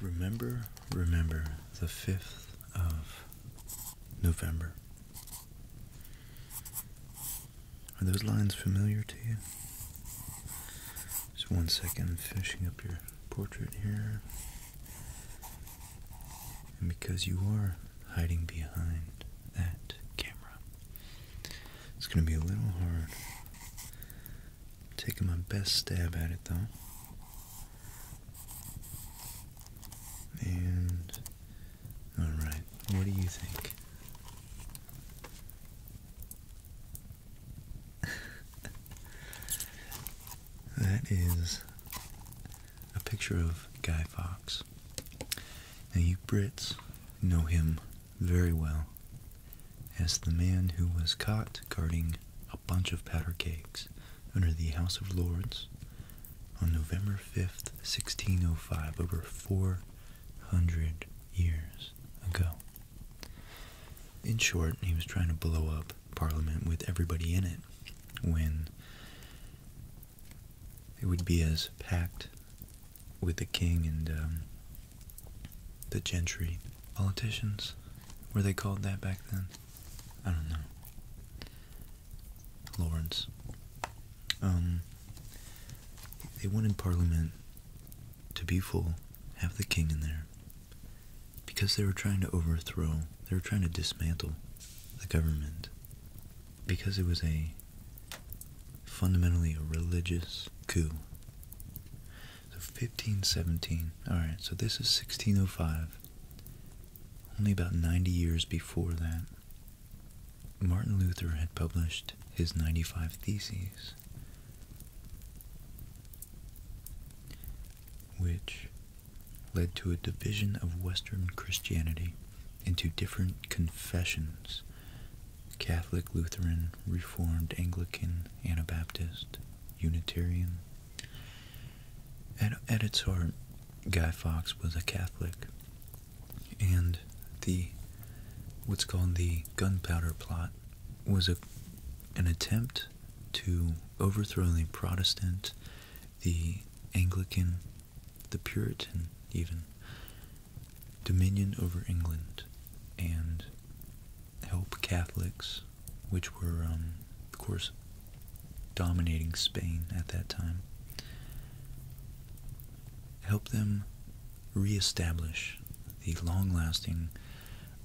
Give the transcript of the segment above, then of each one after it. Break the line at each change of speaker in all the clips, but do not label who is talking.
Remember, remember the 5th of November. Are those lines familiar to you? Just one second, finishing up your portrait here. And because you are hiding behind that camera, it's going to be a little hard Taking my best stab at it though. And alright, what do you think? that is a picture of Guy Fox. Now, you Brits know him very well as the man who was caught guarding bunch of powder cakes under the House of Lords on November 5th, 1605, over 400 years ago. In short, he was trying to blow up Parliament with everybody in it when it would be as packed with the king and um, the gentry Politicians? Were they called that back then? I don't know. Lords. Um, they wanted Parliament to be full, have the king in there, because they were trying to overthrow, they were trying to dismantle the government, because it was a fundamentally a religious coup. So 1517. Alright, so this is 1605. Only about 90 years before that, Martin Luther had published his 95 Theses, which led to a division of Western Christianity into different confessions Catholic, Lutheran, Reformed, Anglican, Anabaptist, Unitarian, at, its heart, Guy Fawkes was a Catholic, and the what's called the Gunpowder Plot was a, an attempt to overthrow the Protestant, the Anglican, the Puritan, even dominion over England, and help Catholics which were, um, of course, dominating Spain at that time, helped them reestablish the long lasting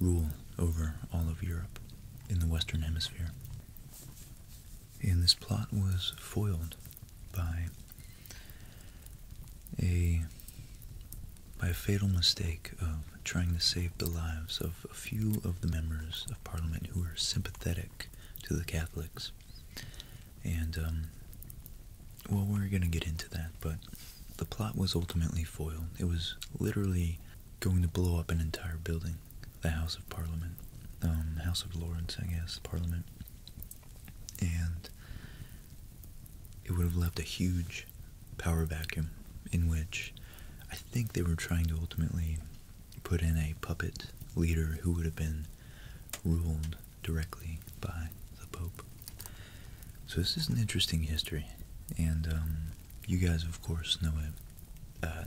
rule over all of Europe in the Western Hemisphere. And this plot was foiled by a by a fatal mistake of trying to save the lives of a few of the members of Parliament who were sympathetic to the Catholics. And, um, well, we're going to get into that, but the plot was ultimately foiled. It was literally going to blow up an entire building, the House of Parliament, um, House of Lords, I guess, Parliament. And it would have left a huge power vacuum in which I think they were trying to ultimately put in a puppet leader who would have been ruled directly by the Pope. So this is an interesting history, and um, you guys, of course, know it. Uh,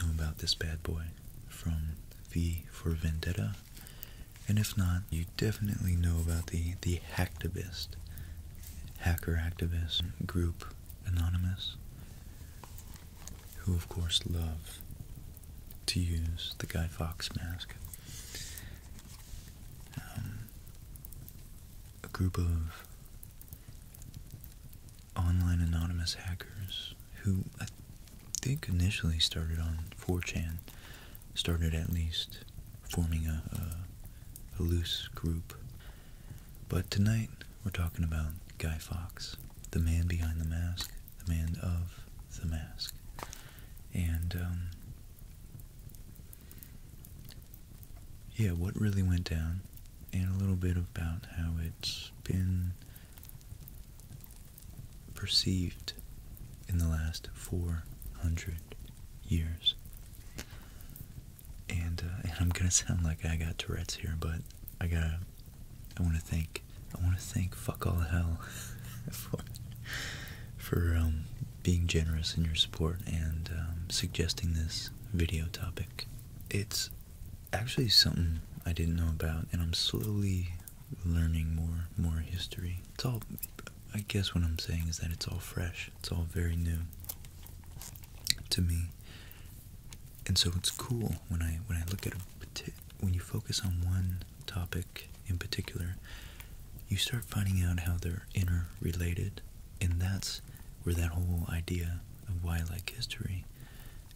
know about this bad boy from V for Vendetta, and if not, you definitely know about the the hacktivist hacker activist group Anonymous, who of course love to use the Guy Fawkes mask. Um, a group of online anonymous hackers who I think initially started on 4chan, started at least forming a loose group but tonight we're talking about Guy Fawkes, the man behind the mask, the man of the mask. And, um, yeah, what really went down, and a little bit about how it's been perceived in the last 400 years. Uh, and I'm gonna sound like I got Tourette's here, but I gotta I want to thank I want to thank fuck all hell for for um, being generous in your support and um, suggesting this video topic. It's actually something I didn't know about, and I'm slowly learning more more history. It's all I guess what I'm saying is that it's all fresh it's all very new to me. And so it's cool when I when I look at when you focus on one topic in particular, you start finding out how they're interrelated, and that's where that whole idea of why like history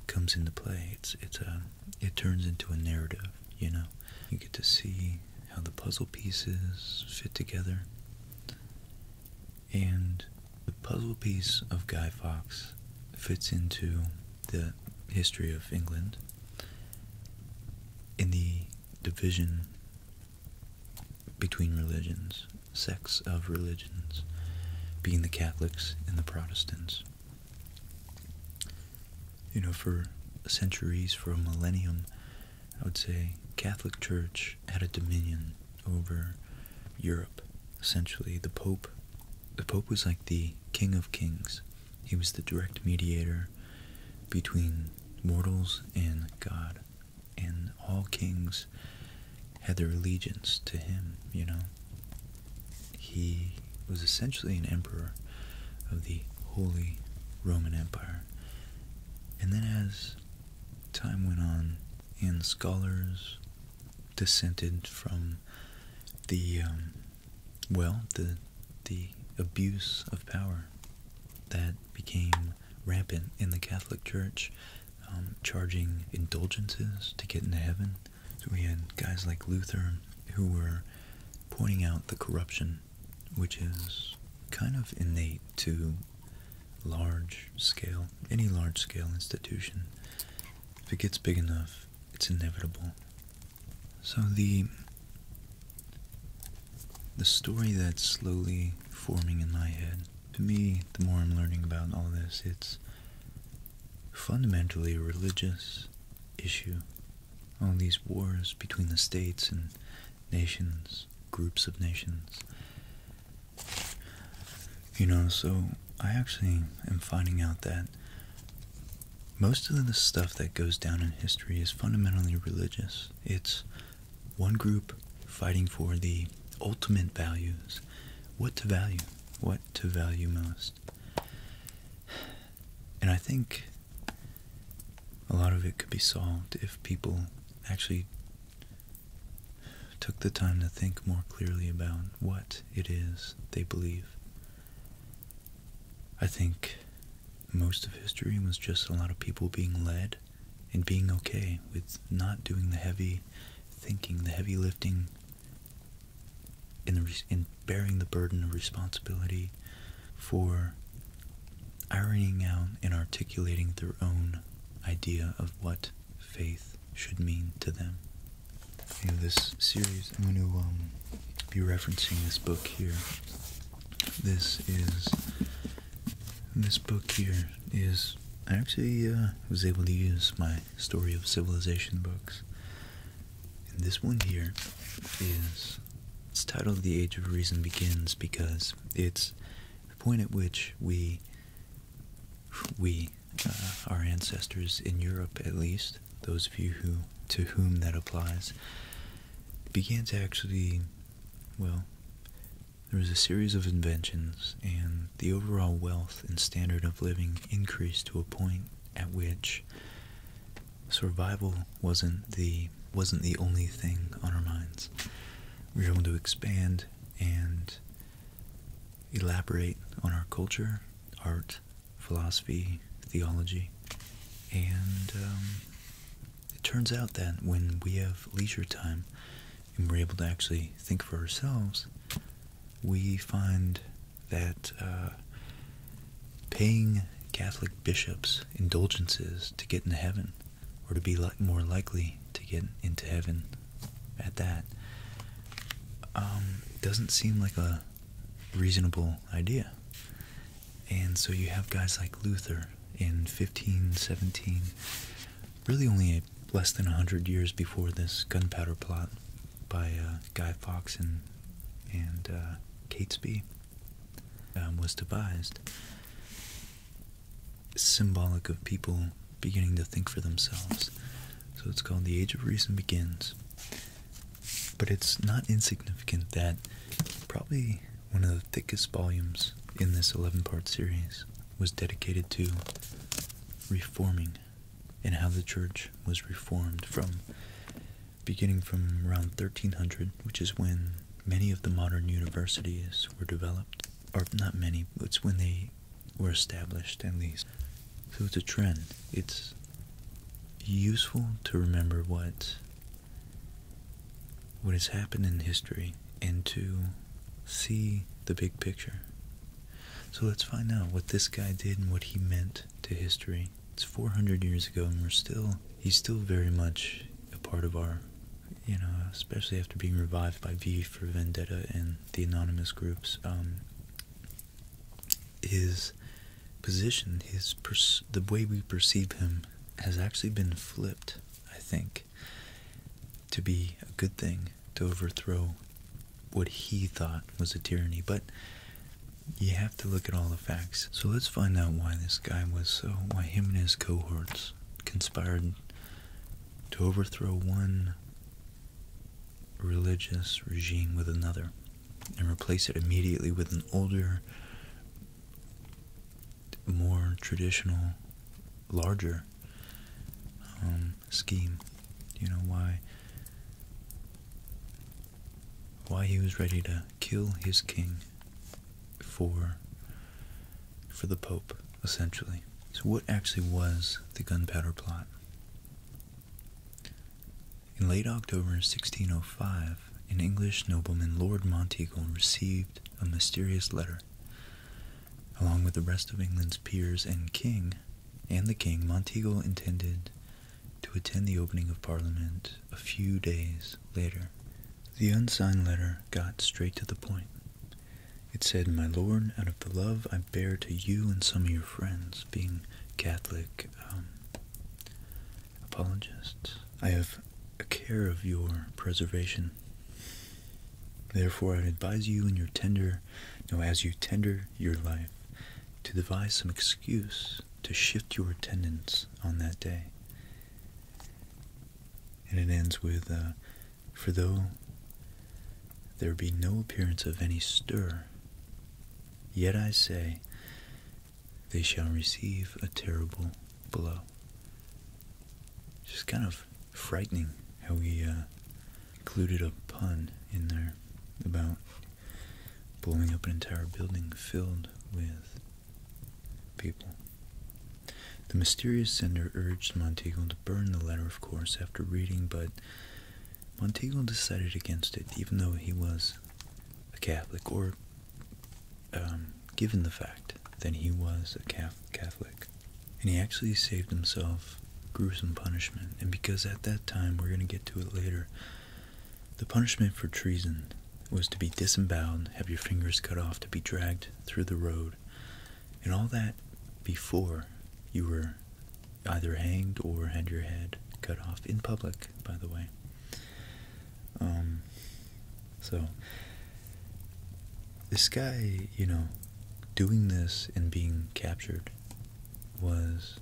comes into play. It's it's a um, it turns into a narrative, you know. You get to see how the puzzle pieces fit together and the puzzle piece of Guy Fawkes fits into the history of England in the division between religions, sects of religions, being the Catholics and the Protestants. You know, for centuries, for a millennium, I would say, Catholic Church had a dominion over Europe. Essentially, the Pope, the Pope was like the King of Kings. He was the direct mediator between mortals and God, and all kings had their allegiance to him. You know, he was essentially an emperor of the Holy Roman Empire. And then as time went on, and scholars dissented from the um, well, the the abuse of power that became rampant in the Catholic Church, um, charging indulgences to get into heaven. we had guys like Luther who were pointing out the corruption, which is kind of innate to large scale, any large scale institution, if it gets big enough, it's inevitable. So the the story that's slowly forming in my head, to me, the more I'm learning about all this, it's fundamentally a religious issue. All these wars between the states and nations, groups of nations. You know, so I actually am finding out that most of the stuff that goes down in history is fundamentally religious. It's one group fighting for the ultimate values. What to value? What to value most? And I think a lot of it could be solved if people actually took the time to think more clearly about what it is they believe. I think most of history was just a lot of people being led and being okay with not doing the heavy thinking, the heavy lifting, in bearing the burden of responsibility for ironing out and articulating their own idea of what faith should mean to them. In this series, I'm going to um, be referencing this book here. This is this book here is I actually uh, was able to use my story of civilization books, this one here is it's titled "The Age of Reason Begins" because it's the point at which we, we, uh, our ancestors in Europe at least, those of you who to whom that applies, began to actually, well, there was a series of inventions, and the overall wealth and standard of living increased to a point at which survival wasn't the wasn't the only thing on our minds. We were able to expand and elaborate on our culture, art, philosophy, theology, and um, it turns out that when we have leisure time and we're able to actually think for ourselves, we find that uh, paying Catholic bishops indulgences to get into heaven or to be more likely to get into heaven at that, um, doesn't seem like a reasonable idea. And so you have guys like Luther in 1517, really only a, less than 100 years before this gunpowder plot by uh, Guy Fawkes and, and uh, Catesby um, was devised symbolic of people beginning to think for themselves. So it's called The Age of Reason Begins. But it's not insignificant that probably one of the thickest volumes in this 11 part series was dedicated to reforming and how the church was reformed from beginning from around 1300, which is when many of the modern universities were developed, or not many, it's when they were established at least. So it's a trend. It's useful to remember what what has happened in history and to see the big picture. So let's find out what this guy did and what he meant to history. It's 400 years ago and we're still he's still very much a part of our you know, especially after being revived by V for Vendetta and the anonymous groups, um, his position, his the way we perceive him, has actually been flipped. I think to be a good thing to overthrow what he thought was a tyranny, but you have to look at all the facts. So let's find out why this guy was why him and his cohorts conspired to overthrow one religious regime with another and replace it immediately with an older, more traditional, larger um, scheme. You know why? Why he was ready to kill his king for for the Pope, essentially. So, what actually was the Gunpowder Plot? In late October 1605, an English nobleman, Lord Monteagle, received a mysterious letter. Along with the rest of England's peers and king, and the king, Monteagle intended to attend the opening of Parliament a few days later. The unsigned letter got straight to the point. It said, My Lord, out of the love I bear to you and some of your friends, being Catholic um, apologists, I have a care of your preservation. Therefore, I advise you in your tender, no, as you tender your life, to devise some excuse to shift your attendance on that day. And it ends with, uh, for though there be no appearance of any stir, yet I say they shall receive a terrible blow. Just kind of frightening how he uh, included a pun in there about blowing up an entire building filled with people. The mysterious sender urged Monteagle to burn the letter, of course, after reading, but Monteagle decided against it, even though he was a Catholic, or um, given the fact that he was a Catholic. And he actually saved himself gruesome punishment, and because at that time, we're going to get to it later, the punishment for treason was to be disemboweled, have your fingers cut off, to be dragged through the road and all that before you were either hanged or had your head cut off in public, by the way. Um, so, this guy, you know, doing this and being captured was,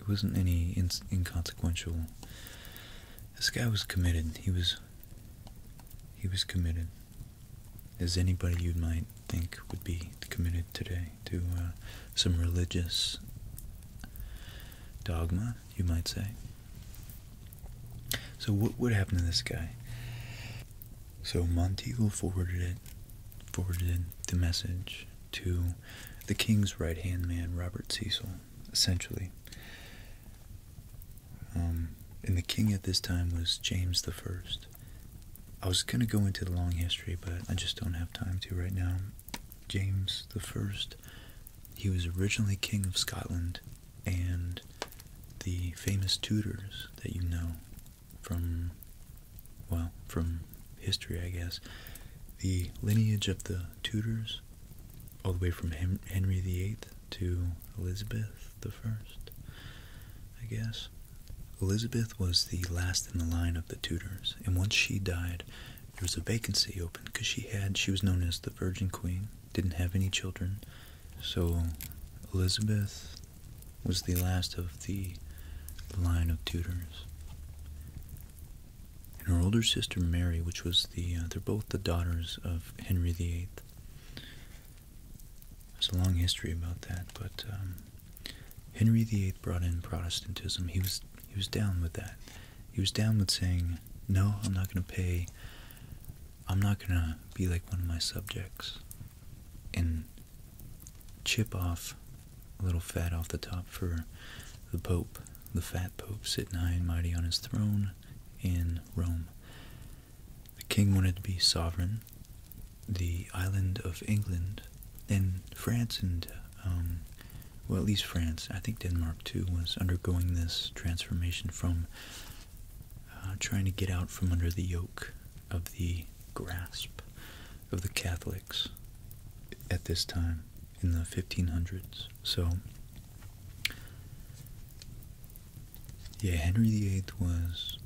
it wasn't any inconsequential. This guy was committed. He was, he was committed as anybody you might think would be committed today to uh, some religious dogma, you might say. So what would happen to this guy? So Monteagle forwarded it, forwarded the message to the king's right hand man, Robert Cecil, essentially. Um, and the king at this time was James I. I was going to go into the long history, but I just don't have time to right now. James I. he was originally king of Scotland, and the famous Tudors that you know from, well, from history, I guess. The lineage of the Tudors, all the way from Henry VIII to Elizabeth the First, I guess. Elizabeth was the last in the line of the Tudors, and once she died, there was a vacancy open because she had, she was known as the Virgin Queen, didn't have any children. So Elizabeth was the last of the line of Tudors. And her older sister Mary, which was the, uh, they're both the daughters of Henry VIII. There's a long history about that, but um, Henry VIII brought in Protestantism. He was he was down with that. He was down with saying, "No, I'm not going to pay. I'm not going to be like one of my subjects and chip off a little fat off the top for the Pope, the fat Pope sitting high and mighty on his throne in Rome." The king wanted to be sovereign. The island of England and France and, um, well, at least France, I think Denmark too, was undergoing this transformation from uh, trying to get out from under the yoke of the grasp of the Catholics at this time in the 1500s. So yeah, Henry VIII was.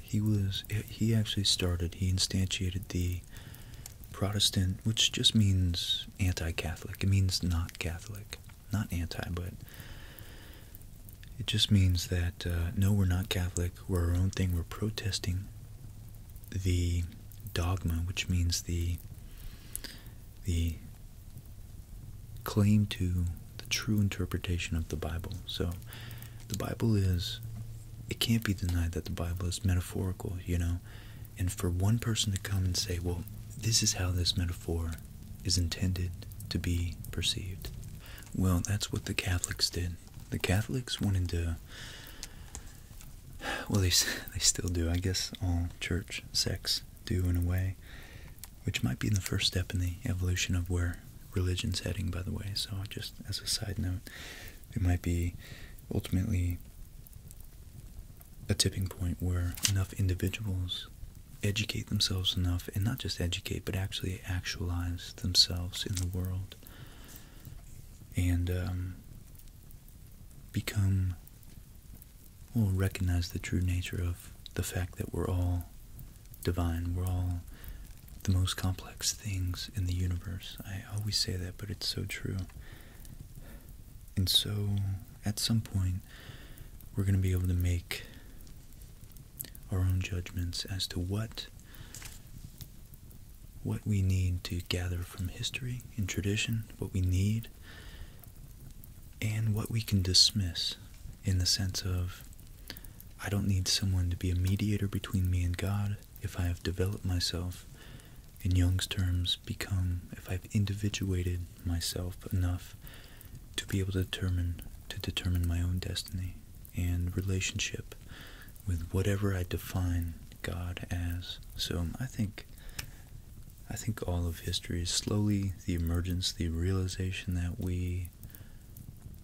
He was. He actually started. He instantiated the Protestant, which just means anti-Catholic. It means not Catholic, not anti, but it just means that uh, no, we're not Catholic. We're our own thing. We're protesting the dogma, which means the the claim to the true interpretation of the Bible. So the Bible is, it can't be denied that the Bible is metaphorical, you know? And for one person to come and say, well, this is how this metaphor is intended to be perceived. Well, that's what the Catholics did. The Catholics wanted to, well, they, they still do. I guess all church sects do in a way, which might be the first step in the evolution of where religion's heading, by the way. So, just as a side note, it might be ultimately a tipping point where enough individuals educate themselves enough, and not just educate, but actually actualize themselves in the world and um, become will recognize the true nature of the fact that we're all divine, we're all the most complex things in the universe. I always say that, but it's so true. And so, at some point, we're going to be able to make our own judgments as to what what we need to gather from history and tradition, what we need and what we can dismiss in the sense of I don't need someone to be a mediator between me and God if I have developed myself, in Jung's terms, become, if I've individuated myself enough to be able to determine to determine my own destiny and relationship with whatever I define God as. So I think I think all of history is slowly the emergence, the realization that we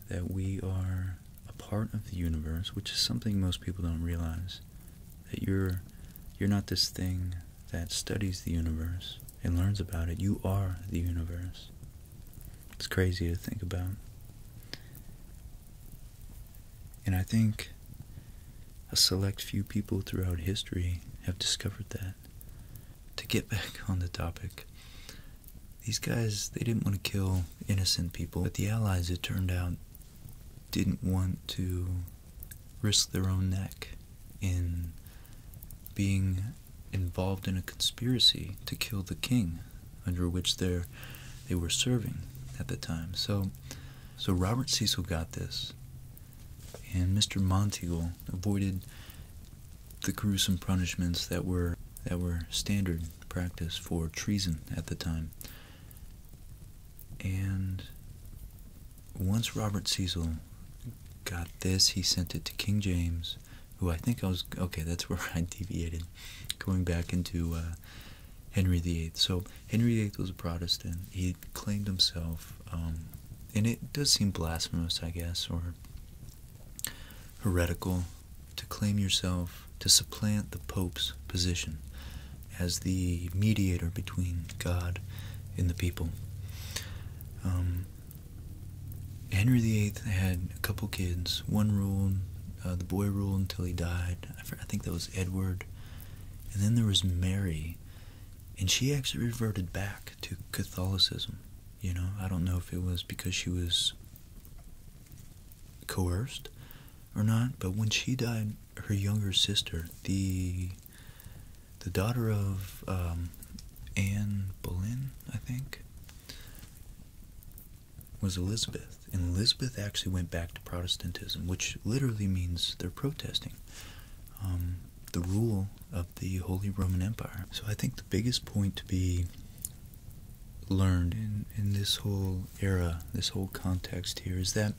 that we are a part of the universe, which is something most people don't realize. That you're you're not this thing that studies the universe and learns about it. You are the universe. It's crazy to think about. And I think a select few people throughout history have discovered that. To get back on the topic, these guys, they didn't want to kill innocent people, but the Allies, it turned out, didn't want to risk their own neck in being involved in a conspiracy to kill the king under which they were serving at the time. So so Robert Cecil got this and Mr. Monteagle avoided the gruesome punishments that were that were standard practice for treason at the time. And once Robert Cecil got this, he sent it to King James, who I think I was okay. That's where I deviated, going back into uh, Henry VIII. So Henry VIII was a Protestant claimed himself, um, and it does seem blasphemous, I guess, or heretical to claim yourself to supplant the Pope's position as the mediator between God and the people. Um, Henry VIII had a couple kids. One ruled, uh, the boy ruled until he died. I think that was Edward. And then there was Mary, and she actually reverted back to Catholicism. You know, I don't know if it was because she was coerced or not, but when she died, her younger sister, the the daughter of um, Anne Boleyn, I think, was Elizabeth, and Elizabeth actually went back to Protestantism, which literally means they're protesting. Um, the rule of the Holy Roman Empire. So I think the biggest point to be learned in, in this whole era, this whole context here, is that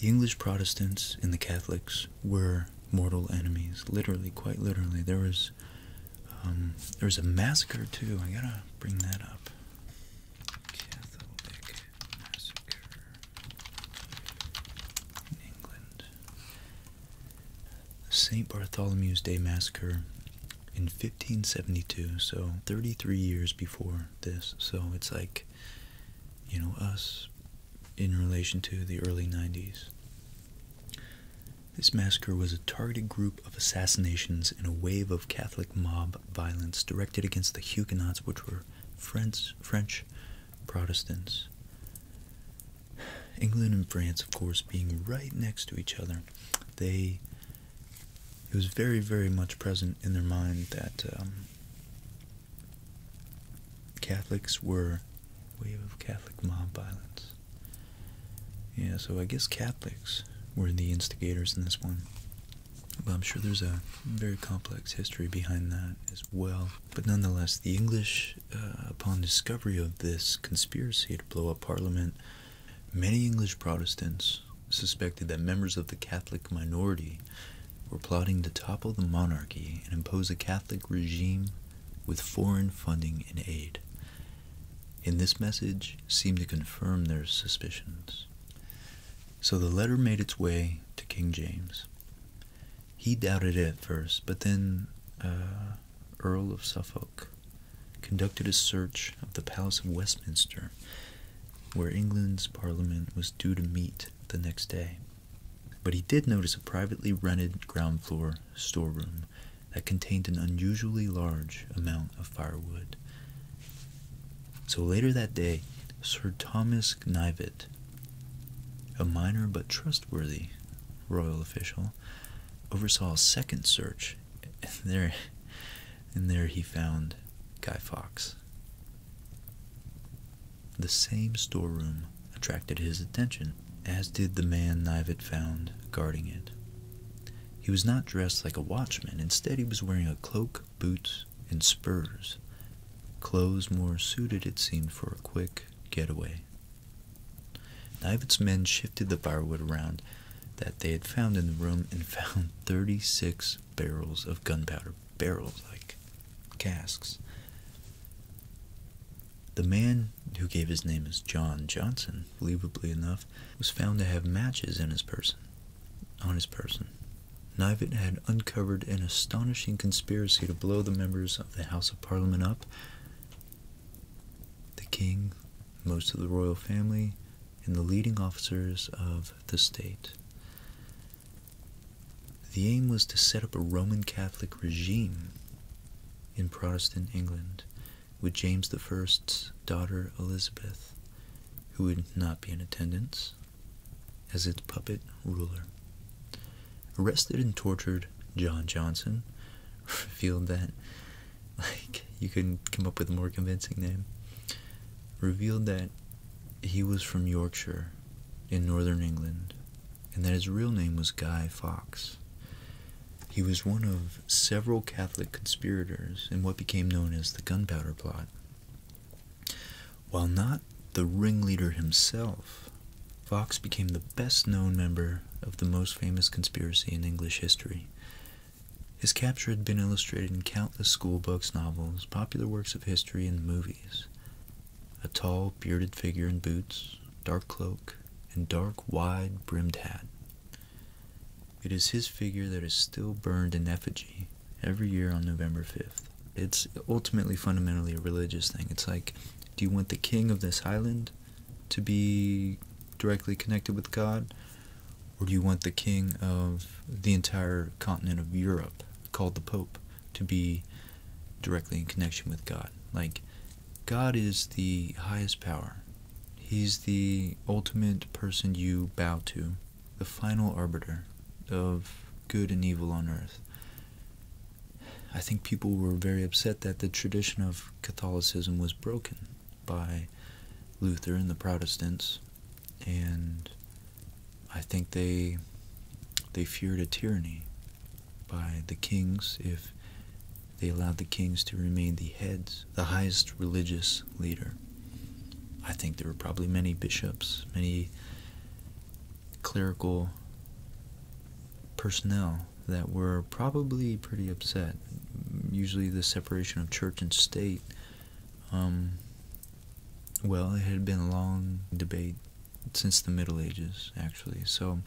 the English Protestants and the Catholics were mortal enemies, literally, quite literally. There was, um, there was a massacre too. I gotta bring that up in England. St. Bartholomew's Day Massacre in 1572, so 33 years before this. So it's like, you know, us in relation to the early 90s. This massacre was a targeted group of assassinations in a wave of Catholic mob violence directed against the Huguenots, which were French, French Protestants. England and France, of course, being right next to each other, they it was very, very much present in their mind that um, Catholics were wave of Catholic mob violence. Yeah, so I guess Catholics were the instigators in this one. But I'm sure there's a very complex history behind that as well. But nonetheless, the English, uh, upon discovery of this conspiracy to blow up Parliament, many English Protestants suspected that members of the Catholic minority were plotting to topple the monarchy and impose a Catholic regime with foreign funding and aid. And this message seemed to confirm their suspicions. So the letter made its way to King James, he doubted it at first, but then uh, Earl of Suffolk conducted a search of the Palace of Westminster, where England's Parliament was due to meet the next day. But he did notice a privately rented ground floor storeroom that contained an unusually large amount of firewood. So later that day, Sir Thomas Knivet a minor but trustworthy royal official oversaw a second search, and there, and there he found Guy Fawkes. The same storeroom attracted his attention, as did the man Knivett found guarding it. He was not dressed like a watchman. Instead, he was wearing a cloak, boots, and spurs, clothes more suited, it seemed, for a quick quick getaway. David's men shifted the firewood around that they had found in the room and found 36 barrels of gunpowder. Barrels, like casks. The man who gave his name as John Johnson, believably enough, was found to have matches in his person. On his person, Nivet had uncovered an astonishing conspiracy to blow the members of the House of Parliament up. The king, most of the royal family, and the leading officers of the state. The aim was to set up a Roman Catholic regime in Protestant England with James I's daughter Elizabeth, who would not be in attendance, as its puppet ruler. Arrested and tortured, John Johnson revealed that, like, you couldn't come up with a more convincing name, revealed that he was from Yorkshire in northern England and that his real name was Guy Fawkes. He was one of several Catholic conspirators in what became known as the Gunpowder Plot. While not the ringleader himself, Fox became the best known member of the most famous conspiracy in English history. His capture had been illustrated in countless school books, novels, popular works of history, and movies. A tall, bearded figure in boots, dark cloak, and dark, wide brimmed hat. It is his figure that is still burned in effigy every year on November 5th it's ultimately fundamentally a religious thing. It's like, do you want the king of this island to be directly connected with God? Or do you want the king of the entire continent of Europe, called the Pope, to be directly in connection with God? Like, God is the highest power. He's the ultimate person you bow to, the final arbiter of good and evil on earth. I think people were very upset that the tradition of Catholicism was broken by Luther and the Protestants, and I think they they feared a tyranny by the kings if they allowed the kings to remain the heads, the highest religious leader. I think there were probably many bishops, many clerical personnel that were probably pretty upset. Usually, the separation of church and state. Um, well, it had been a long debate since the Middle Ages, actually. So,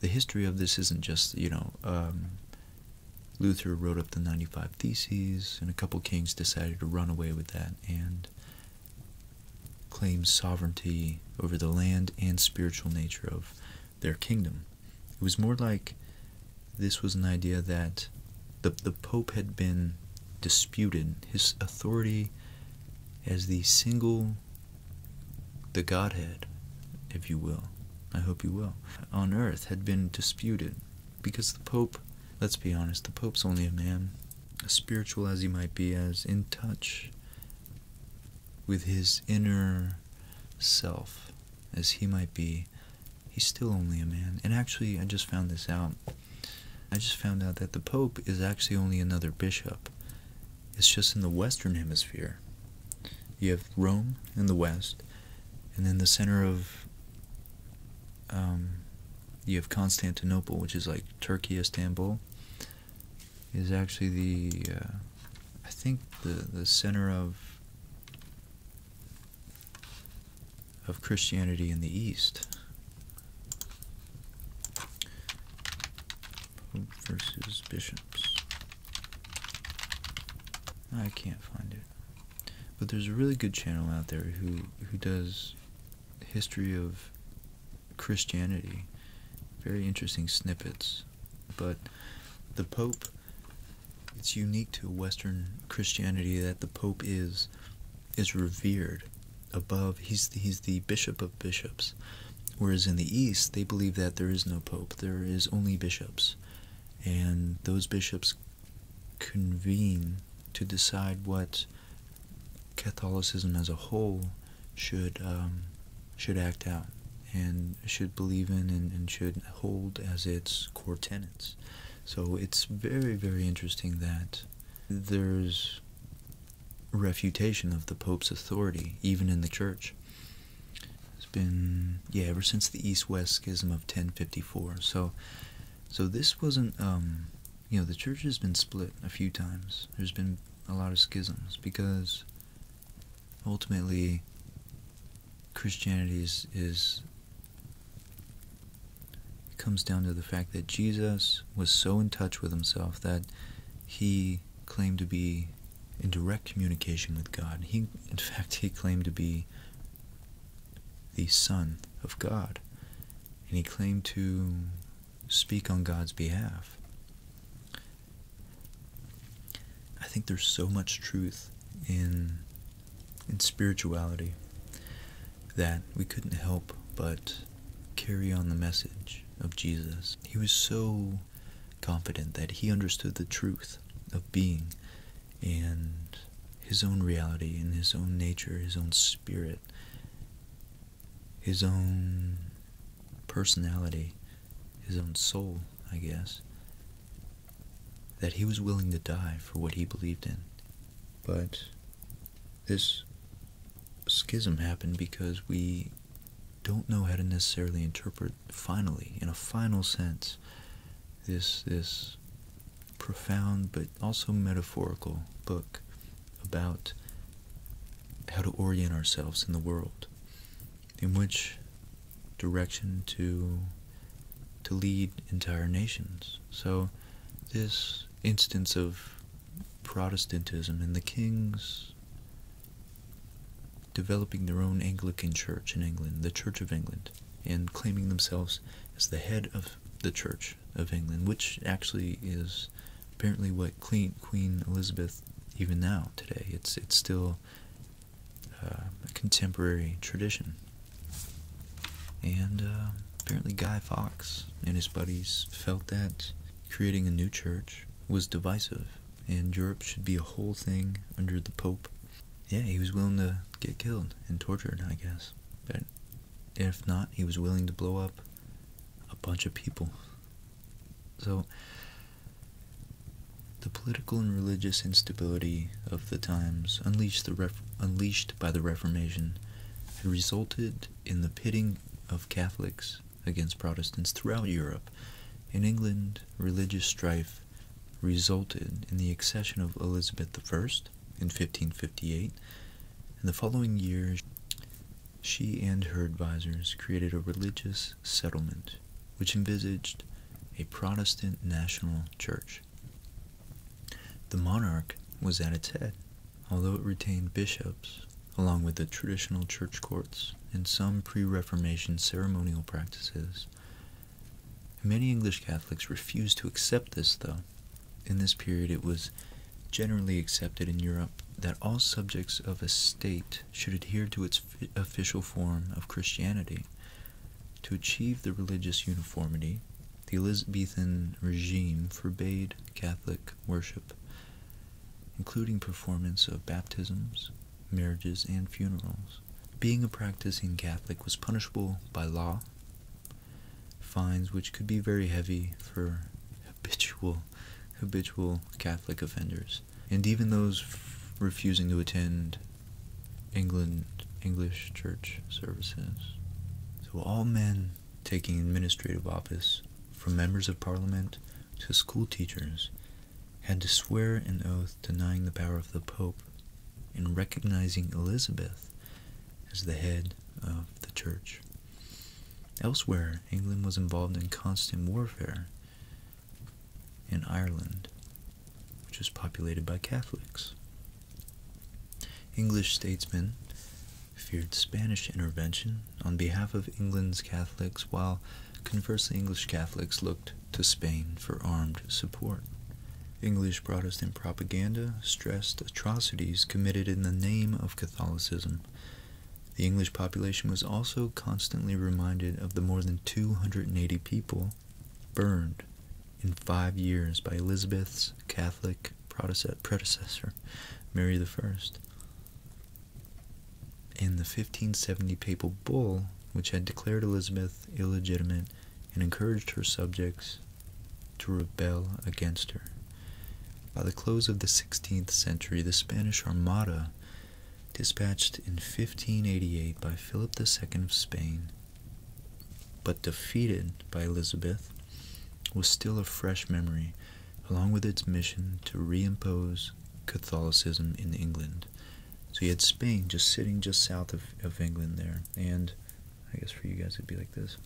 the history of this isn't just you know. Um, Luther wrote up the 95 Theses, and a couple kings decided to run away with that and Claimed sovereignty over the land and spiritual nature of their kingdom. It was more like this was an idea that the, the Pope had been disputed, his authority as the single, the Godhead, if you will, I hope you will, on earth had been disputed because the Pope, let's be honest, the Pope's only a man as spiritual as he might be, as in touch with his inner self as he might be, he's still only a man. And actually, I just found this out. I just found out that the Pope is actually only another bishop. It's just in the Western Hemisphere. You have Rome in the West, and then the center of. Um, you have Constantinople, which is like Turkey, Istanbul, is actually the uh, I think the the center of of Christianity in the East. versus bishops. I can't find it. But there's a really good channel out there who who does history of Christianity. Very interesting snippets. But the Pope, it's unique to Western Christianity that the Pope is is revered above. He's he's the bishop of bishops. Whereas in the East, they believe that there is no pope. There is only bishops, and those bishops convene to decide what Catholicism as a whole should um, should act out and should believe in and, should hold as its core tenets. So it's very, very interesting that there's refutation of the Pope's authority, even in the church. It's been, yeah, ever since the East-West Schism of 1054. So, so this wasn't, um, you know, the church has been split a few times. There's been a lot of schisms because ultimately Christianity is, comes down to the fact that Jesus was so in touch with himself that he claimed to be in direct communication with God. He, in fact, he claimed to be the Son of God, and he claimed to speak on God's behalf. I think there's so much truth in in spirituality that we couldn't help but carry on the message of Jesus. He was so confident that he understood the truth of being and his own reality and his own nature, his own spirit, his own personality, his own soul, I guess, that he was willing to die for what he believed in. But this schism happened because we don't know how to necessarily interpret finally, in a final sense, this this profound but also metaphorical book about how to orient ourselves in the world, in which direction to to lead entire nations. So this instance of Protestantism and the kings developing their own Anglican church in England, the Church of England, and claiming themselves as the head of the Church of England, which actually is apparently what Queen Elizabeth even now today it's it's still uh, a contemporary tradition. And um, apparently Guy Fawkes and his buddies felt that creating a new church was divisive and Europe should be a whole thing under the Pope. Yeah, he was willing to get killed and tortured, I guess. But if not, he was willing to blow up a bunch of people so, the political and religious instability of the times, unleashed, by the Reformation, had resulted in the pitting of Catholics against Protestants throughout Europe. In England, religious strife resulted in the accession of Elizabeth I in 1558, In the following years she and her advisers created a religious settlement which envisaged a Protestant national church. The monarch was at its head, although it retained bishops, along with the traditional church courts and some pre Reformation ceremonial practices. Many English Catholics refused to accept this, though. In this period, it was generally accepted in Europe that all subjects of a state should adhere to its official form of Christianity. To achieve the religious uniformity, the Elizabethan regime forbade Catholic worship, including performance of baptisms, marriages, and funerals. Being a practicing Catholic was punishable by law, fines which could be very heavy for habitual habitual Catholic offenders, and even those refusing to attend England English church services. So all men taking administrative office, from members of Parliament to school teachers, had to swear an oath denying the power of the Pope and recognizing Elizabeth as the head of the church. Elsewhere, England was involved in constant warfare in Ireland, which was populated by Catholics. English statesmen feared Spanish intervention on behalf of England's Catholics, while conversely, English Catholics looked to Spain for armed support. English Protestant propaganda stressed atrocities committed in the name of Catholicism the English population was also constantly reminded of the more than 280 people burned in five years by Elizabeth's Catholic predecessor, Mary I. In the 1570 papal bull, which had declared Elizabeth illegitimate and encouraged her subjects to rebel against her. By the close of the 16th century, the Spanish Armada, dispatched in 1588 by Philip II of Spain, but defeated by Elizabeth, was still a fresh memory, along with its mission to reimpose Catholicism in England. So you had Spain just sitting just south of, England there, and I guess for you guys it'd be like this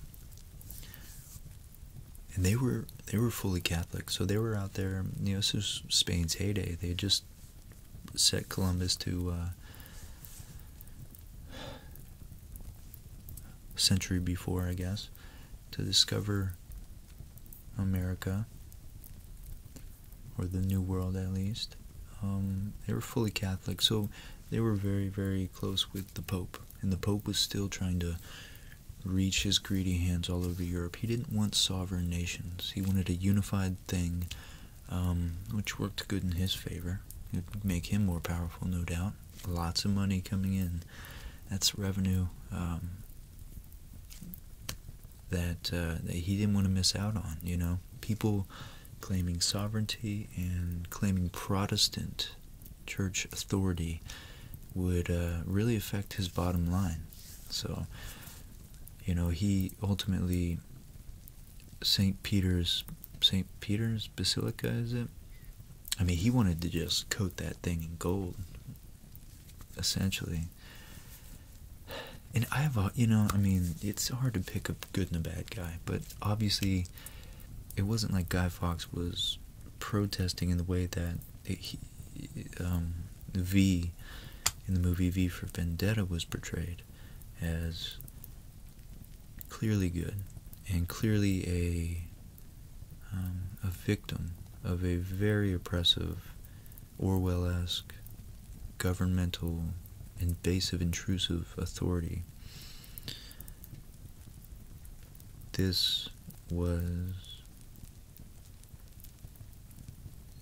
and they were they were fully Catholic, so they were out there. You know, this was Spain's heyday. They just set Columbus to a uh, century before, I guess, to discover America or the New World, at least. Um, they were fully Catholic, so they were very, very close with the Pope, and the Pope was still trying to reach his greedy hands all over Europe. He didn't want sovereign nations. He wanted a unified thing, um, which worked good in his favor. It would make him more powerful, no doubt. Lots of money coming in. That's revenue um, uh, that he didn't want to miss out on, you know? People claiming sovereignty and claiming Protestant church authority would uh, really affect his bottom line. So, you know, he ultimately, St. Peter's, St. Peter's Basilica, is it? I mean, he wanted to just coat that thing in gold, essentially. And I have, a, you know, I mean, it's hard to pick a good and a bad guy, but obviously, it wasn't like Guy Fawkes was protesting in the way that it, um, V in the movie V for Vendetta was portrayed as clearly good and clearly a um, a victim of a very oppressive Orwell-esque governmental invasive intrusive authority. This was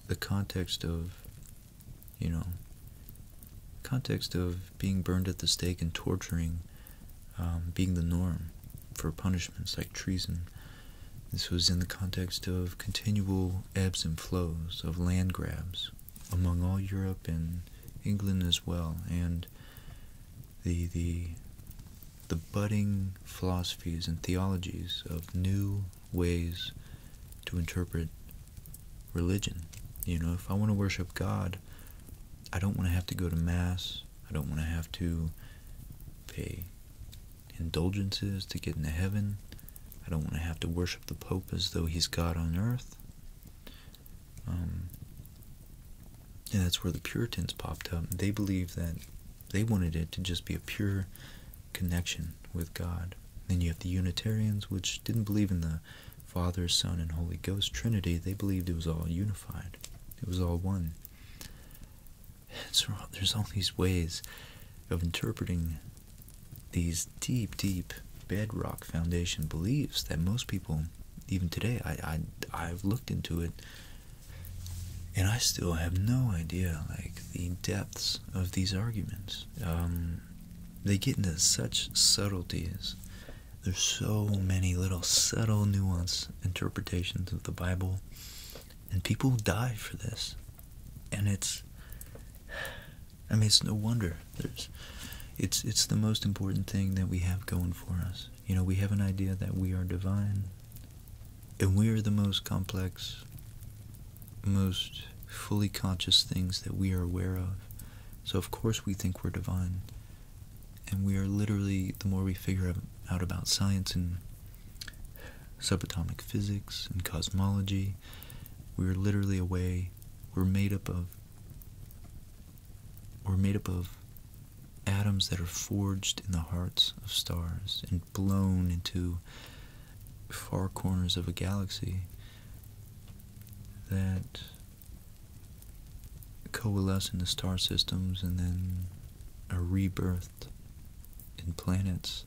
the context of, you know, context of being burned at the stake and torturing um, being the norm for punishments like treason. This was in the context of continual ebbs and flows of land grabs among all Europe and England as well, and the the the budding philosophies and theologies of new ways to interpret religion. You know, if I want to worship God, I don't want to have to go to Mass, I don't want to have to pay indulgences to get into heaven. I don't want to have to worship the Pope as though he's God on earth. Um, and that's where the Puritans popped up. They believed that they wanted it to just be a pure connection with God. Then you have the Unitarians, which didn't believe in the Father, Son, and Holy Ghost Trinity. They believed it was all unified, it was all one. So there's all these ways of interpreting these deep, deep bedrock foundation beliefs that most people, even today, I, I, I've looked into it and I still have no idea like the depths of these arguments. Um, they get into such subtleties. There's so many little subtle nuance interpretations of the Bible, and people die for this. And it's, I mean, it's no wonder. There's, it's it's the most important thing that we have going for us. You know, we have an idea that we are divine and we are the most complex, most fully conscious things that we are aware of. So, of course, we think we're divine. And we are literally, the more we figure out about science and subatomic physics and cosmology, we're literally a way, we're made up of, we're made up of atoms that are forged in the hearts of stars and blown into far corners of a galaxy that coalesce in the star systems and then are rebirthed in planets.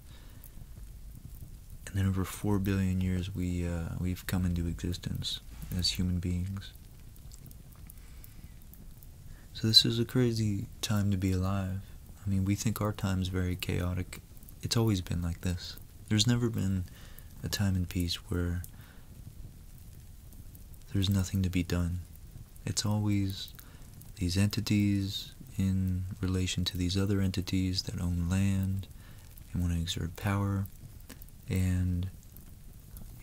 And then over four billion years, we uh, we've come into existence as human beings. So this is a crazy time to be alive. I mean, we think our time's very chaotic. It's always been like this. There's never been a time in peace where there's nothing to be done. It's always these entities in relation to these other entities that own land and want to exert power and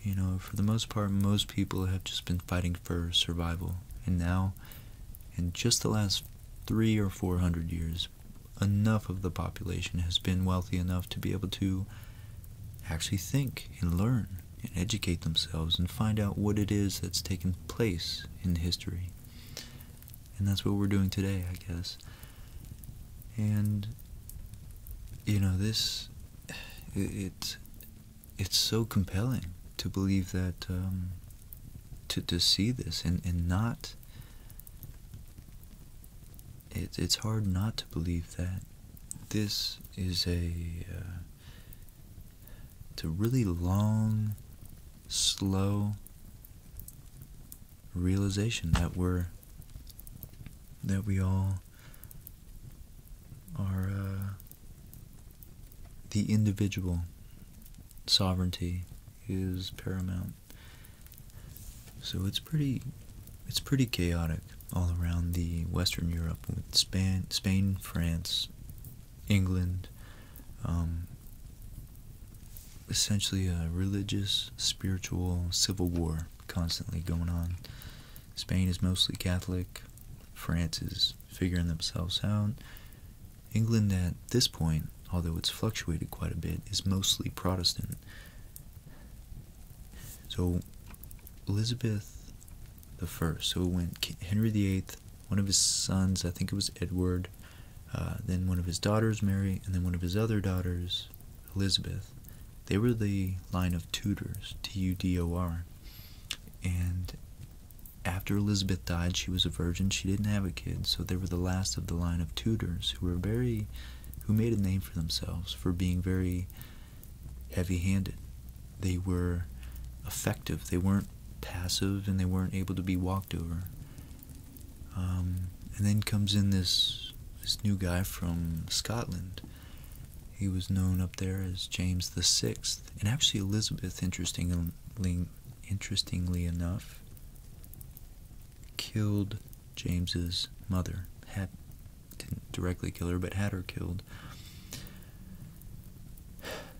you know, for the most part, most people have just been fighting for survival. And now, in just the last three or four hundred years, enough of the population has been wealthy enough to be able to actually think and learn and educate themselves and find out what it is that's taken place in history. And that's what we're doing today, I guess. And you know, this it it's so compelling to believe that um, to to see this and and not it, it's hard not to believe that this is a uh, it's a really long slow realization that we're that we all are uh, the individual sovereignty is paramount. So it's pretty it's pretty chaotic all around the Western Europe with Spain, Spain France, England, um, essentially a religious, spiritual, civil war constantly going on. Spain is mostly Catholic, France is figuring themselves out. England, at this point, although it's fluctuated quite a bit, is mostly Protestant. So, Elizabeth the First. So it went Henry VIII, one of his sons, I think it was Edward, uh, then one of his daughters, Mary, and then one of his other daughters, Elizabeth. They were the line of Tudors, T U D O R. And after Elizabeth died, she was a virgin. She didn't have a kid, so they were the last of the line of Tudors who were very, who made a name for themselves for being very heavy-handed. They were effective. They weren't passive, and they weren't able to be walked over. Um, and then comes in this this new guy from Scotland, he was known up there as James the Sixth, and actually Elizabeth, interestingly, interestingly enough, killed James's mother. Had didn't directly kill her, but had her killed.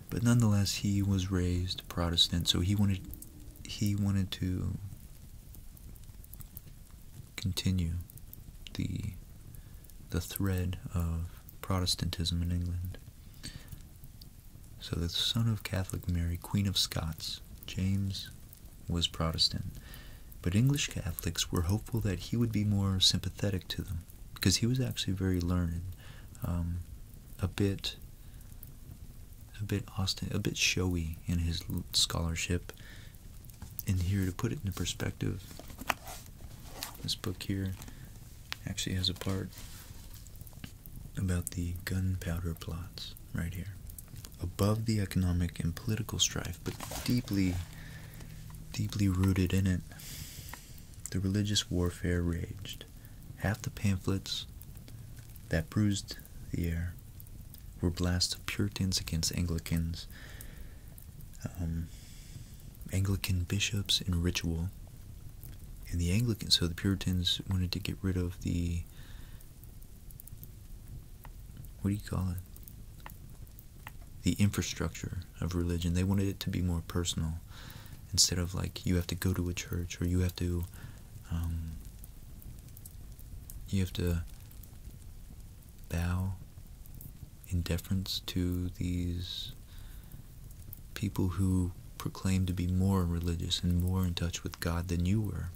But nonetheless, he was raised Protestant, so he wanted he wanted to continue the the thread of Protestantism in England. So the son of Catholic Mary, Queen of Scots, James was Protestant, but English Catholics were hopeful that he would be more sympathetic to them because he was actually very learned, um, a bit, a bit austin, a bit showy in his scholarship. And here, to put it in perspective, this book here actually has a part about the gunpowder plots right here. Above the economic and political strife, but deeply, deeply rooted in it, the religious warfare raged. Half the pamphlets that bruised the air were blasts of Puritans against Anglicans um, Anglican bishops and ritual. And the Anglicans, so the Puritans wanted to get rid of the, what do you call it? The infrastructure of religion. They wanted it to be more personal instead of like you have to go to a church or you have to, um, you have to bow in deference to these people who proclaimed to be more religious and more in touch with God than you were.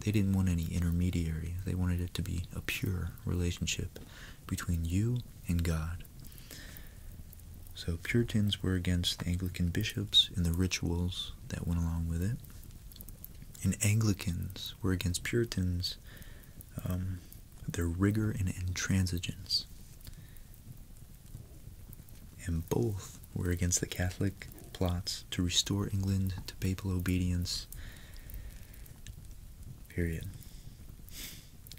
They didn't want any intermediary. They wanted it to be a pure relationship between you and God. So Puritans were against the Anglican bishops and the rituals that went along with it. And Anglicans were against Puritans um, their rigor and intransigence. And both were against the Catholic plots to restore England to papal obedience. Period.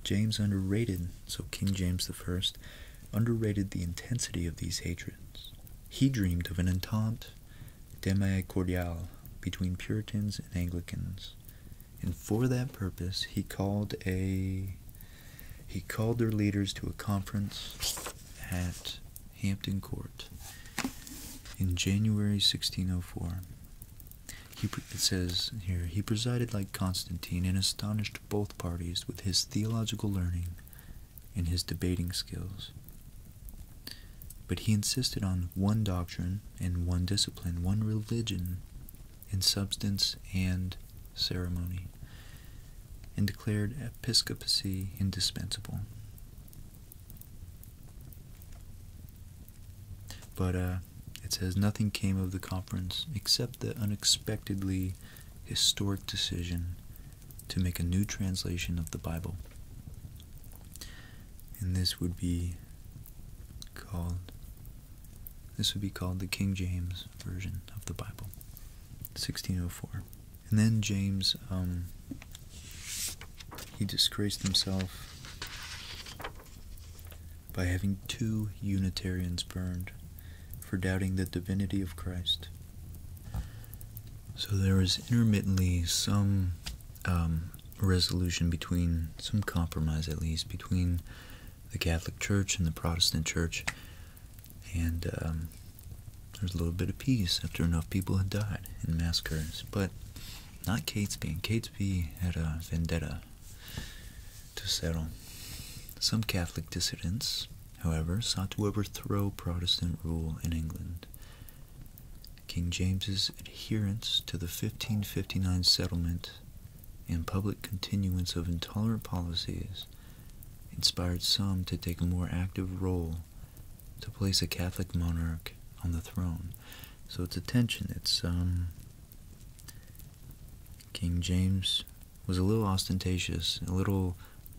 James underrated, so King James I underrated the intensity of these hatreds. He dreamed of an entente demi cordiale between Puritans and Anglicans and for that purpose, he called a he called their leaders to a conference at Hampton Court in January 1604. He it says here he presided like Constantine and astonished both parties with his theological learning and his debating skills. But he insisted on one doctrine and one discipline, one religion in substance and ceremony, and declared episcopacy indispensable. But uh, it says nothing came of the conference except the unexpectedly historic decision to make a new translation of the Bible. And this would be called this would be called the King James Version of the Bible, 1604. And then James, um, he disgraced himself by having two Unitarians burned for doubting the divinity of Christ. So there was intermittently some um, resolution between, some compromise at least, between the Catholic Church and the Protestant Church. And um, there was a little bit of peace after enough people had died in massacres. But not Catesby. And Catesby had a vendetta to settle. Some Catholic dissidents, however, sought to overthrow Protestant rule in England. King James's adherence to the 1559 settlement and public continuance of intolerant policies inspired some to take a more active role to place a Catholic monarch on the throne. So it's a tension. It's um, King James was a little ostentatious, a little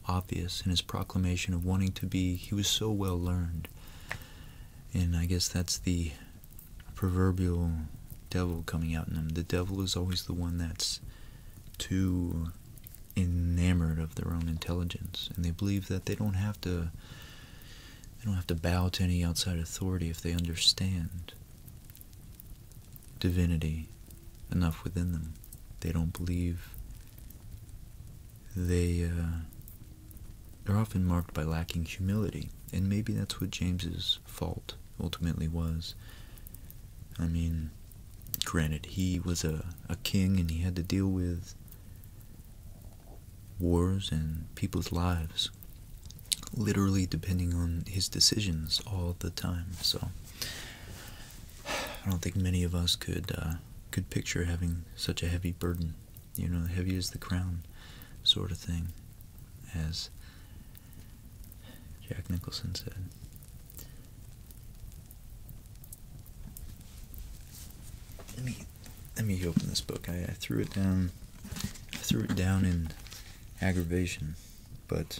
obvious in his proclamation of wanting to be. He was so well learned, and I guess that's the proverbial devil coming out in them. The devil is always the one that's too enamored of their own intelligence, and they believe that they don't have to. They don't have to bow to any outside authority if they understand divinity enough within them. They don't believe. They uh, they're often marked by lacking humility, and maybe that's what James's fault ultimately was. I mean, granted, he was a, a king and he had to deal with wars and people's lives, literally depending on his decisions all the time. So, I don't think many of us could uh, could picture having such a heavy burden, you know, heavy as the crown, sort of thing as Jack Nicholson said. Let me let me open this book. I, threw it down. I threw it down in aggravation, but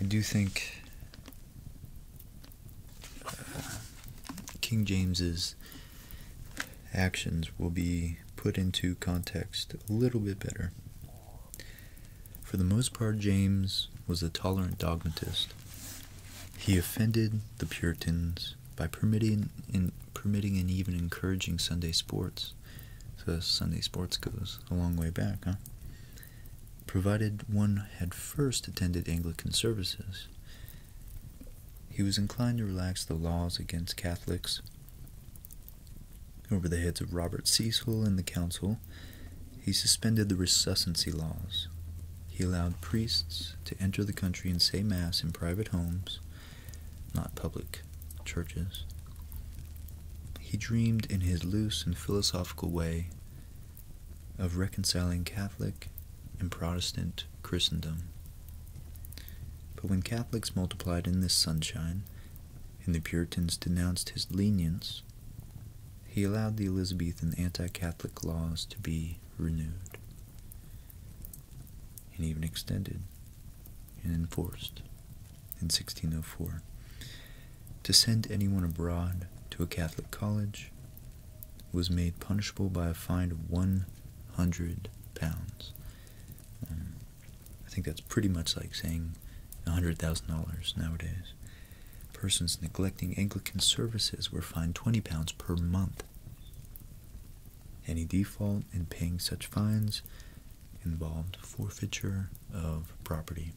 I do think uh, King James's actions will be put into context a little bit better. For the most part, James was a tolerant dogmatist. He offended the Puritans by permitting, in, permitting and even encouraging Sunday sports. So Sunday sports goes a long way back, huh? Provided one had first attended Anglican services. He was inclined to relax the laws against Catholics. Over the heads of Robert Cecil and the Council, he suspended the resuscency laws. He allowed priests to enter the country and say Mass in private homes, not public churches. He dreamed in his loose and philosophical way of reconciling Catholic and Protestant Christendom. But when Catholics multiplied in this sunshine, and the Puritans denounced his lenience, he allowed the Elizabethan anti Catholic laws to be renewed, and even extended and enforced in 1604. To send anyone abroad to a Catholic college was made punishable by a fine of 100 pounds. Um, I think that's pretty much like saying $100,000 nowadays. Persons neglecting Anglican services were fined 20 pounds per month. Any default in paying such fines involved forfeiture of property,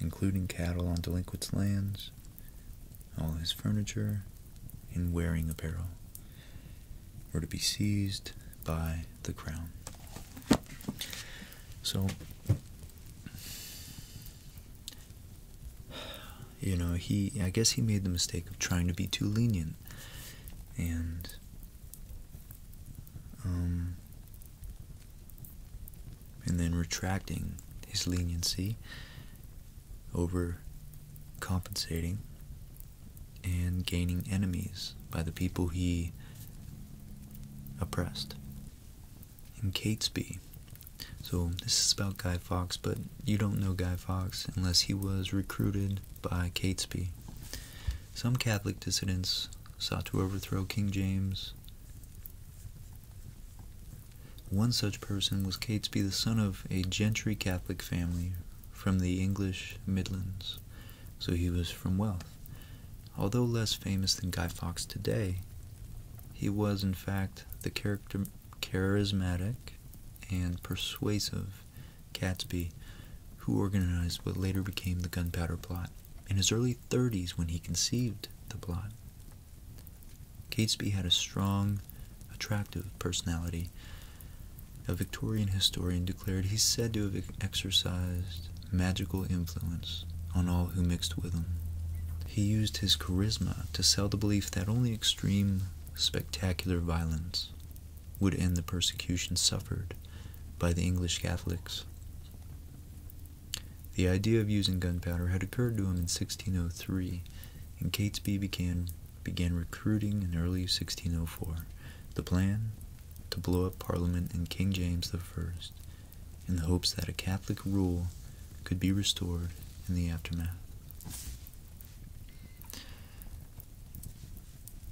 including cattle on delinquent lands, all his furniture and wearing apparel were to be seized by the crown. So, you know, he, I guess he made the mistake of trying to be too lenient. And, um, and then retracting his leniency, overcompensating, and gaining enemies by the people he oppressed. In Catesby. So this is about Guy Fawkes, but you don't know Guy Fawkes unless he was recruited by Catesby. Some Catholic dissidents sought to overthrow King James one such person was Catesby, the son of a gentry Catholic family from the English Midlands, so he was from wealth. Although less famous than Guy Fawkes today, he was in fact the character charismatic and persuasive Catesby who organized what later became the Gunpowder Plot. In his early 30s, when he conceived the plot, Catesby had a strong, attractive personality. A Victorian historian declared he's said to have exercised magical influence on all who mixed with him. He used his charisma to sell the belief that only extreme, spectacular violence would end the persecution suffered by the English Catholics. The idea of using gunpowder had occurred to him in 1603, and Catesby began, began recruiting in early 1604. The plan? To blow up Parliament and King James I, in the hopes that a Catholic rule could be restored in the aftermath.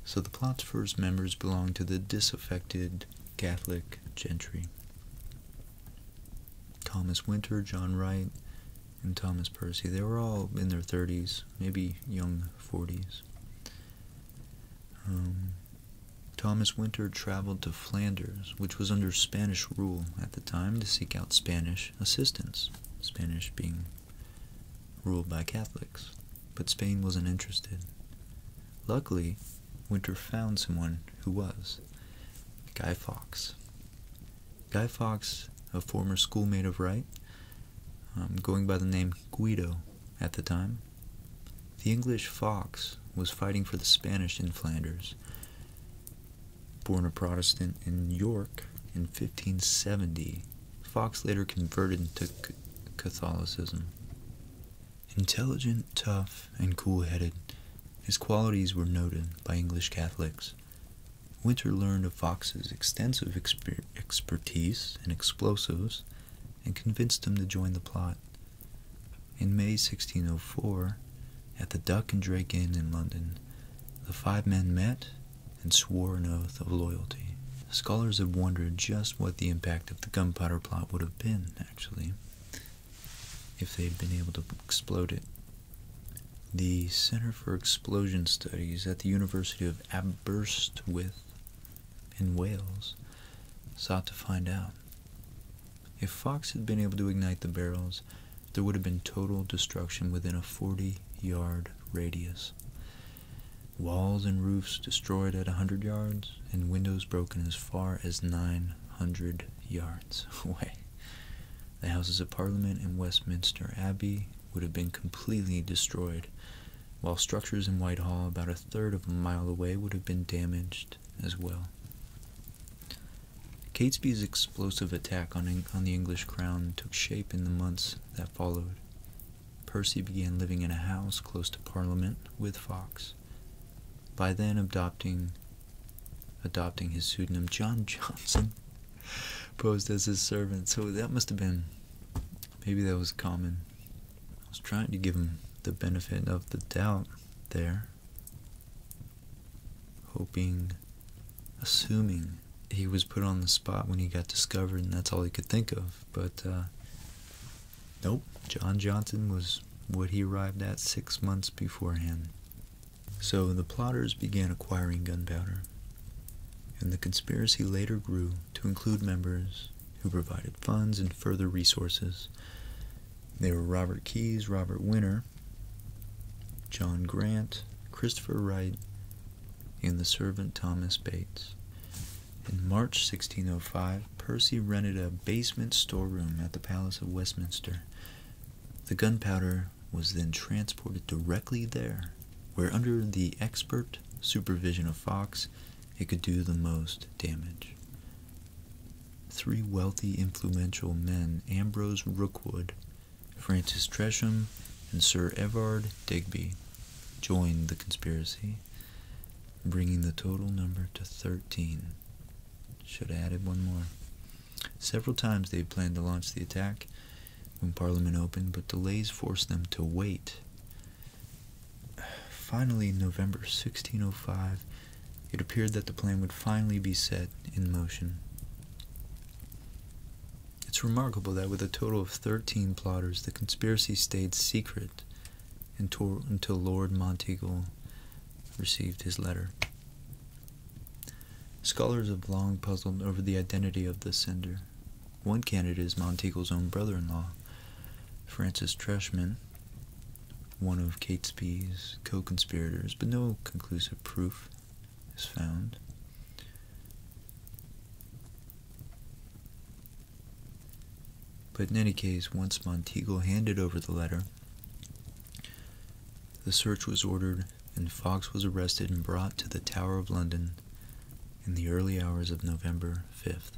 So the plot's first members belonged to the disaffected Catholic gentry. Thomas Winter, John Wright, and Thomas Percy. They were all in their 30s, maybe young 40s. Um, Thomas Winter traveled to Flanders, which was under Spanish rule at the time, to seek out Spanish assistance, Spanish being ruled by Catholics. But Spain wasn't interested. Luckily, Winter found someone who was Guy Fawkes. Guy Fawkes, a former schoolmate of Wright, um, going by the name Guido at the time, the English Fox was fighting for the Spanish in Flanders. Born a Protestant in York in 1570, Fox later converted to Catholicism. Intelligent, tough, and cool headed, his qualities were noted by English Catholics. Winter learned of Fox's extensive expertise in explosives and convinced him to join the plot. In May 1604, at the Duck and Drake Inn in London, the five men met and swore an oath of loyalty. Scholars have wondered just what the impact of the gunpowder plot would have been, actually if they'd been able to explode it. The Center for Explosion Studies at the University of Aberystwyth in Wales sought to find out. If Fox had been able to ignite the barrels, there would have been total destruction within a 40 yard radius. Walls and roofs destroyed at 100 yards, and windows broken as far as 900 yards away. The Houses of Parliament and Westminster Abbey would have been completely destroyed, while structures in Whitehall, about a third of a mile away, would have been damaged as well. Catesby's explosive attack on, on the English crown took shape in the months that followed. Percy began living in a house close to Parliament with Fox by then adopting adopting his pseudonym John Johnson posed as his servant. So that must have been maybe that was common. I was trying to give him the benefit of the doubt there. Hoping assuming he was put on the spot when he got discovered and that's all he could think of. But uh, nope, John Johnson was what he arrived at six months beforehand. So the plotters began acquiring gunpowder, and the conspiracy later grew to include members who provided funds and further resources. They were Robert Keyes, Robert Winter, John Grant, Christopher Wright, and the servant Thomas Bates. In March 1605, Percy rented a basement storeroom at the Palace of Westminster the gunpowder was then transported directly there, where, under the expert supervision of Fox, it could do the most damage. Three wealthy, influential men, Ambrose Rookwood, Francis Tresham, and Sir Everard Digby, joined the conspiracy, bringing the total number to 13. Should have added one more. Several times they had planned to launch the attack when Parliament opened, but delays forced them to wait. Finally, in November 1605, it appeared that the plan would finally be set in motion. It's remarkable that with a total of 13 plotters, the conspiracy stayed secret until, Lord Monteagle received his letter. Scholars have long puzzled over the identity of the sender. One candidate is Monteagle's own brother-in-law, Francis Treshman, one of Catesby's co-conspirators, but no conclusive proof is found. But in any case, once Monteagle handed over the letter, the search was ordered, and Fox was arrested and brought to the Tower of London in the early hours of November 5th.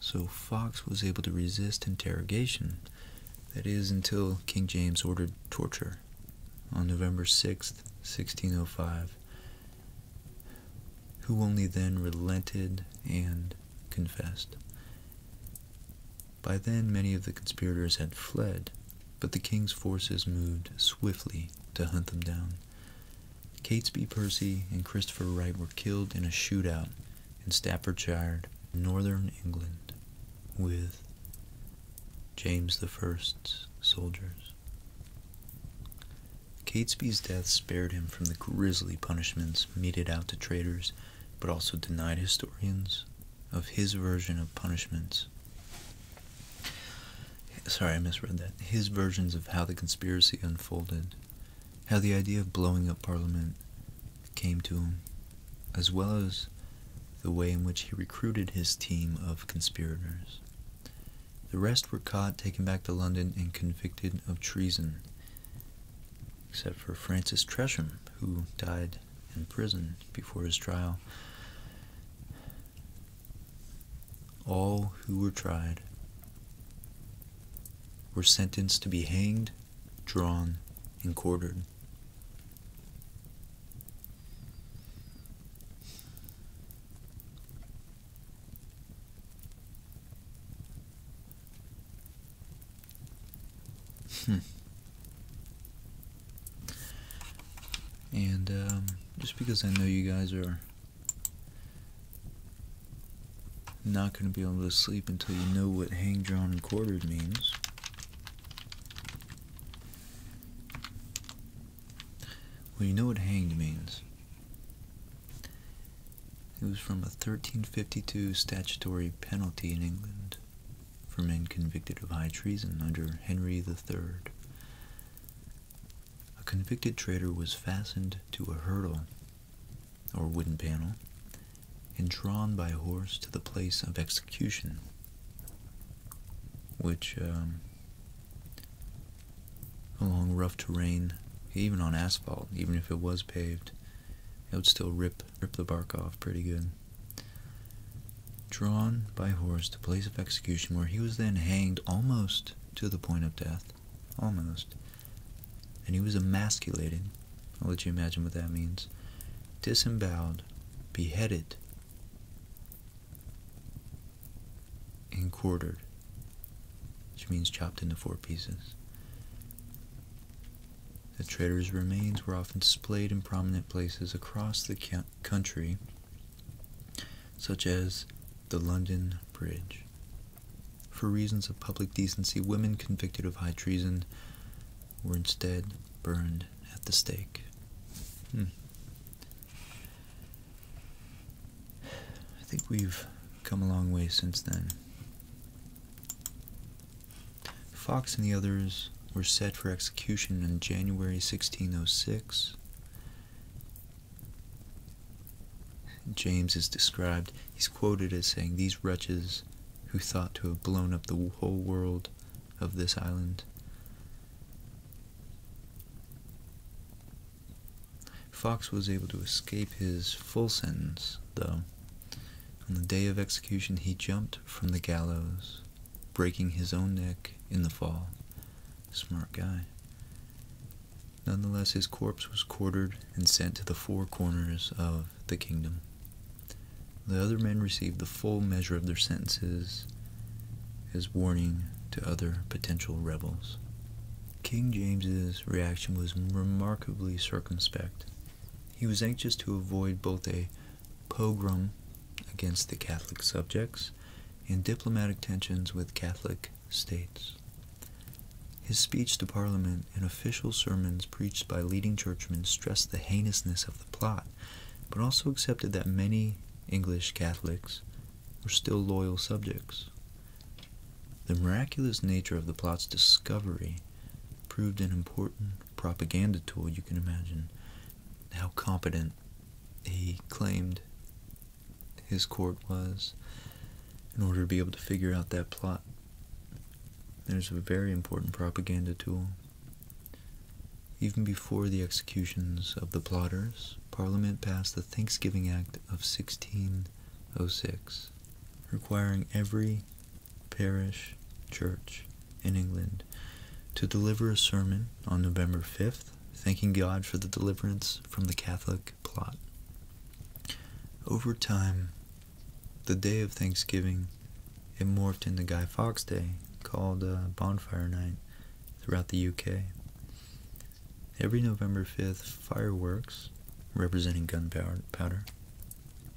So Fox was able to resist interrogation, that is, until King James ordered torture on November 6th, 1605, who only then relented and confessed. By then, many of the conspirators had fled, but the king's forces moved swiftly to hunt them down. Catesby Percy and Christopher Wright were killed in a shootout in Staffordshire, northern England, with James I's soldiers. Catesby's death spared him from the grisly punishments meted out to traitors, but also denied historians of his version of punishments. Sorry, I misread that. His versions of how the conspiracy unfolded, how the idea of blowing up Parliament came to him, as well as the way in which he recruited his team of conspirators. The rest were caught, taken back to London, and convicted of treason, except for Francis Tresham, who died in prison before his trial. All who were tried were sentenced to be hanged, drawn, and quartered. Hmm. And um, just because I know you guys are not going to be able to sleep until you know what hang, drawn, and quartered means, well, you know what hanged means. It was from a 1352 statutory penalty in England for men convicted of high treason under Henry III. A convicted traitor was fastened to a hurdle or wooden panel and drawn by a horse to the place of execution, which, um, along rough terrain, even on asphalt, even if it was paved, it would still rip Ripped the bark off pretty good. Drawn by horse to place of execution, where he was then hanged almost to the point of death, almost, and he was emasculated. I'll let you imagine what that means. Disemboweled, beheaded, and quartered, which means chopped into four pieces. The traitor's remains were often displayed in prominent places across the country, such as the London Bridge. For reasons of public decency, women convicted of high treason were instead burned at the stake. Hmm. I think we've come a long way since then. Fox and the others were set for execution in January 1606. James is described, he's quoted as saying, These wretches who thought to have blown up the whole world of this island. Fox was able to escape his full sentence, though. On the day of execution, he jumped from the gallows, breaking his own neck in the fall. Smart guy. Nonetheless, his corpse was quartered and sent to the four corners of the kingdom. The other men received the full measure of their sentences as warning to other potential rebels. King James's reaction was remarkably circumspect. He was anxious to avoid both a pogrom against the Catholic subjects, and diplomatic tensions with Catholic states. His speech to Parliament and official sermons preached by leading churchmen stressed the heinousness of the plot, but also accepted that many English Catholics were still loyal subjects. The miraculous nature of the plot's discovery proved an important propaganda tool, you can imagine how competent he claimed his court was in order to be able to figure out that plot. There's a very important propaganda tool. Even before the executions of the plotters, Parliament passed the Thanksgiving Act of 1606, requiring every parish church in England to deliver a sermon on November 5th, thanking God for the deliverance from the Catholic plot. Over time, the day of Thanksgiving, it morphed into Guy Fawkes Day, called uh, Bonfire Night, throughout the UK. Every November 5th, fireworks, representing gunpowder,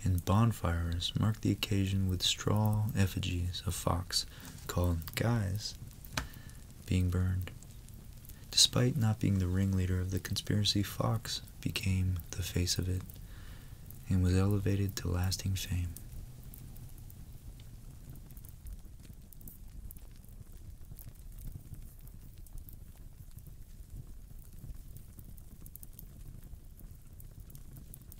and bonfires marked the occasion with straw effigies of fox called Guys being burned. Despite not being the ringleader of the conspiracy, Fox became the face of it and was elevated to lasting fame.